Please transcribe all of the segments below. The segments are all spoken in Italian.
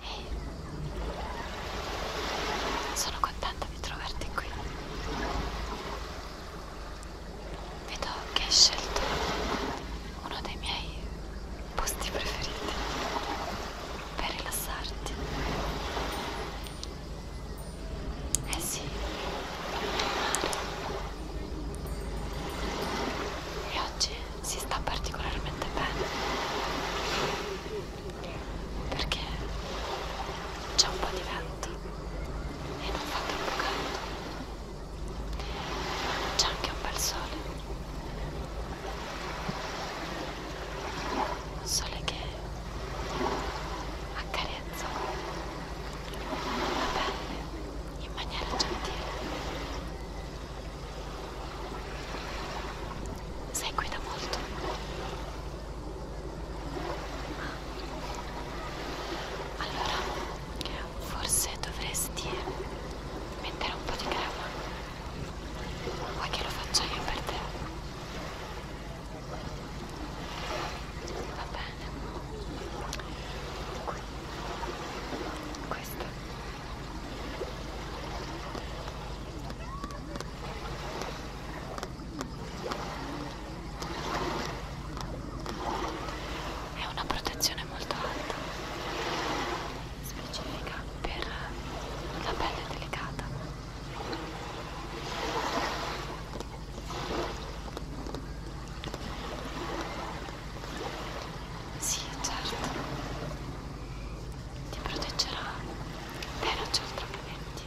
Ehi, sono contenta di trovarti qui. Vedo che hai scelto uno dei miei posti preferiti per rilassarti. Eh sì, e oggi si sta particolarmente bene perché c'è un po' di vento e non fa troppo caldo, c'è anche un bel sole un sole che accarezza la pelle in maniera gentile. Sei qui da molto, ma allora forse dovresti mettere un po' di crema. Vuoi che lo faccia io per te? va bene qui questa è una protezione molto alta specifica per la pelle delicata sì, certo. Ti proteggerà. Te non c'è altrimenti.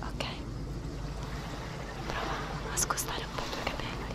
Ok. Prova a scostare un po' i tuoi capelli.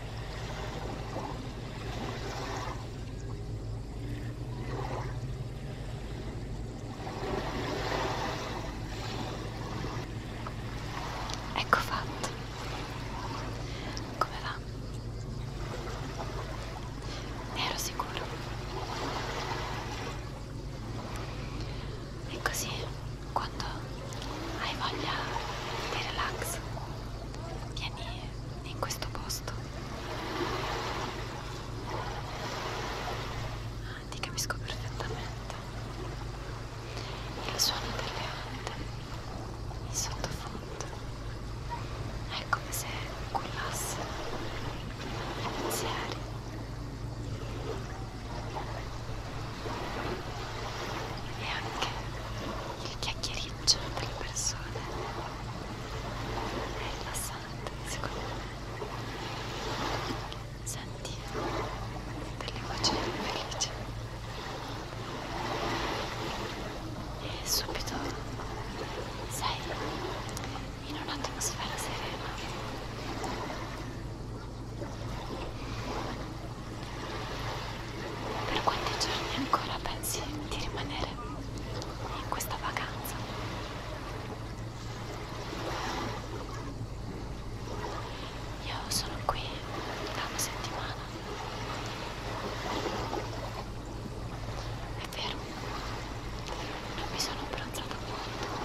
Ecco fatto. Come va? Ne ero sicuro. E così, quando hai voglia di relax, vieni in questo posto. Ah, ti capisco perfettamente. Il suono delle onde, il sottofondo, è come se cullasse i pensieri e anche il chiacchiericcio tra le persone è rilassante secondo me senti delle voci felici e subito sei in un'atmosfera serena per quanti giorni ancora pensi di rimanere in questa vacanza? Io sono qui da una settimana. È vero, non mi sono abbronzata molto.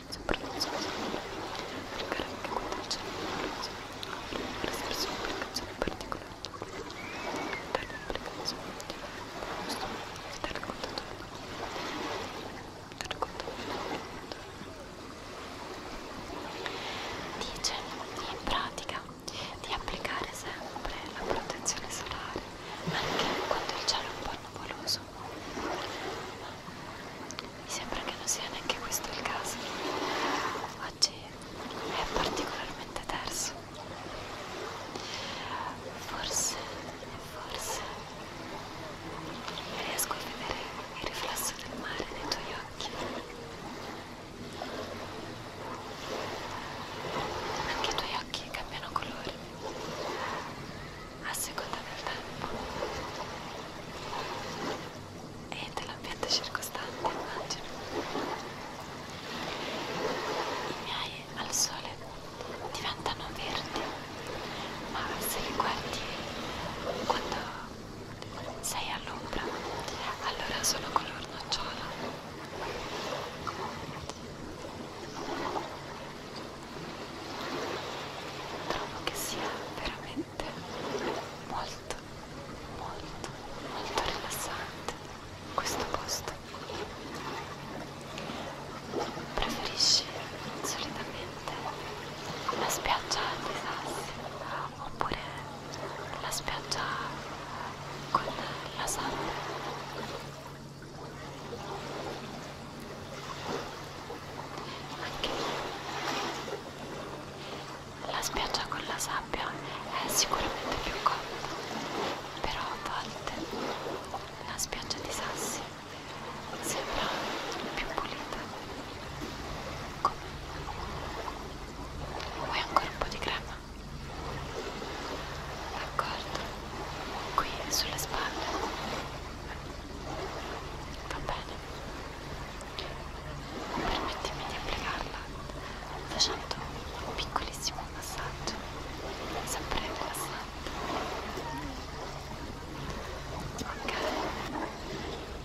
silenzio per non sentire cercare anche quando c'è per essersi un'applicazione particolare dare un'applicazione dare contatto dare contatto dice in pratica di applicare sempre la protezione solare anche quando il cielo è un po' nuvoloso rosso. Mi sembra che non sia neanche questo il caso. Oggi è particolarmente terso. Forse, forse riesco a vedere il riflesso del mare nei tuoi occhi. Anche i tuoi occhi cambiano colore a seconda del tempo e dell'ambiente circostante immagino i miei al sole diventano verdi ma se li guardi quando sei all'ombra allora sono color nocciola trovo che sia veramente molto molto molto rilassante questo posto preferisci solitamente la spiaggia dei sassi oppure la spiaggia con la sand anche la spiaggia con la sabbia è sicuramente più comoda però a volte la spiaggia di sassi sembra più pulita come? vuoi ancora un po' di crema? d'accordo qui sulle spalle Va bene. Permettimi di applicarla facendo un piccolissimo massaggio, sempre rilassante. Ok. Bene.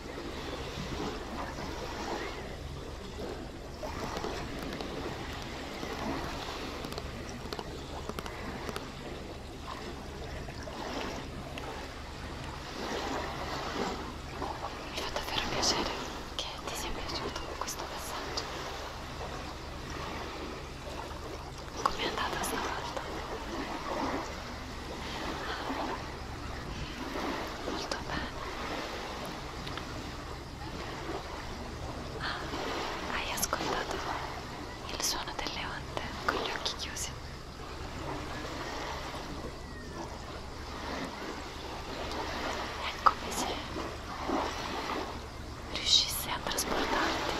Mi fa davvero piacere che ti sia piaciuto questo passaggio. Com'è andata stavolta? molto bene ah, hai ascoltato il suono delle onde con gli occhi chiusi è come se riuscisse a trasportarti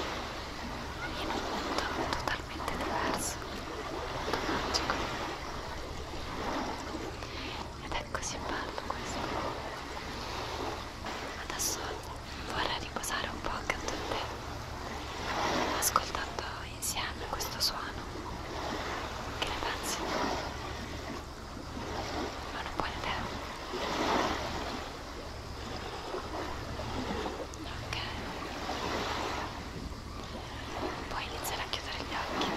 in un mondo totalmente totalmente diverso, molto magico ed è così bello questo adesso vorrei riposare un po' accanto a te ascoltando insieme questo suono che ne pensi? ma non buona idea? ok Puoi iniziare a chiudere gli occhi.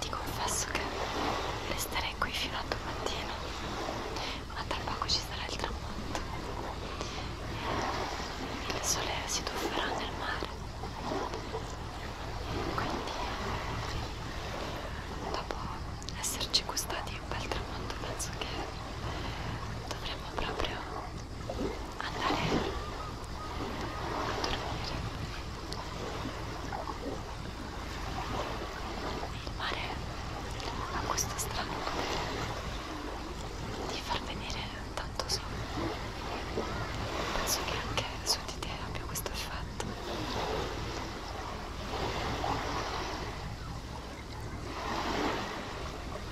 Ti confesso che resterei qui fino a domattina, ma tra poco ci sarà il tramonto e il sole si tufferà nel mare. Quindi, dopo esserci gustati un bel tramonto, penso che dovremmo proprio andare a dormire. Il mare ha questo strano potere di far venire tanto sonno. Penso che anche su di te abbia questo effetto.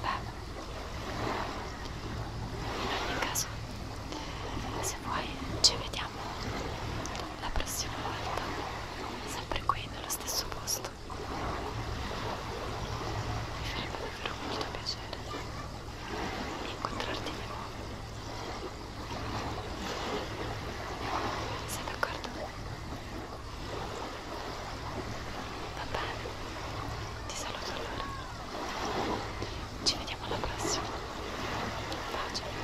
Beh, ogni caso se vuoi ci vediamo la prossima volta sempre qui nello stesso posto mi farebbe davvero molto piacere incontrarti di nuovo sei d'accordo? Va bene, ti saluto allora. Ci vediamo alla prossima. Pace.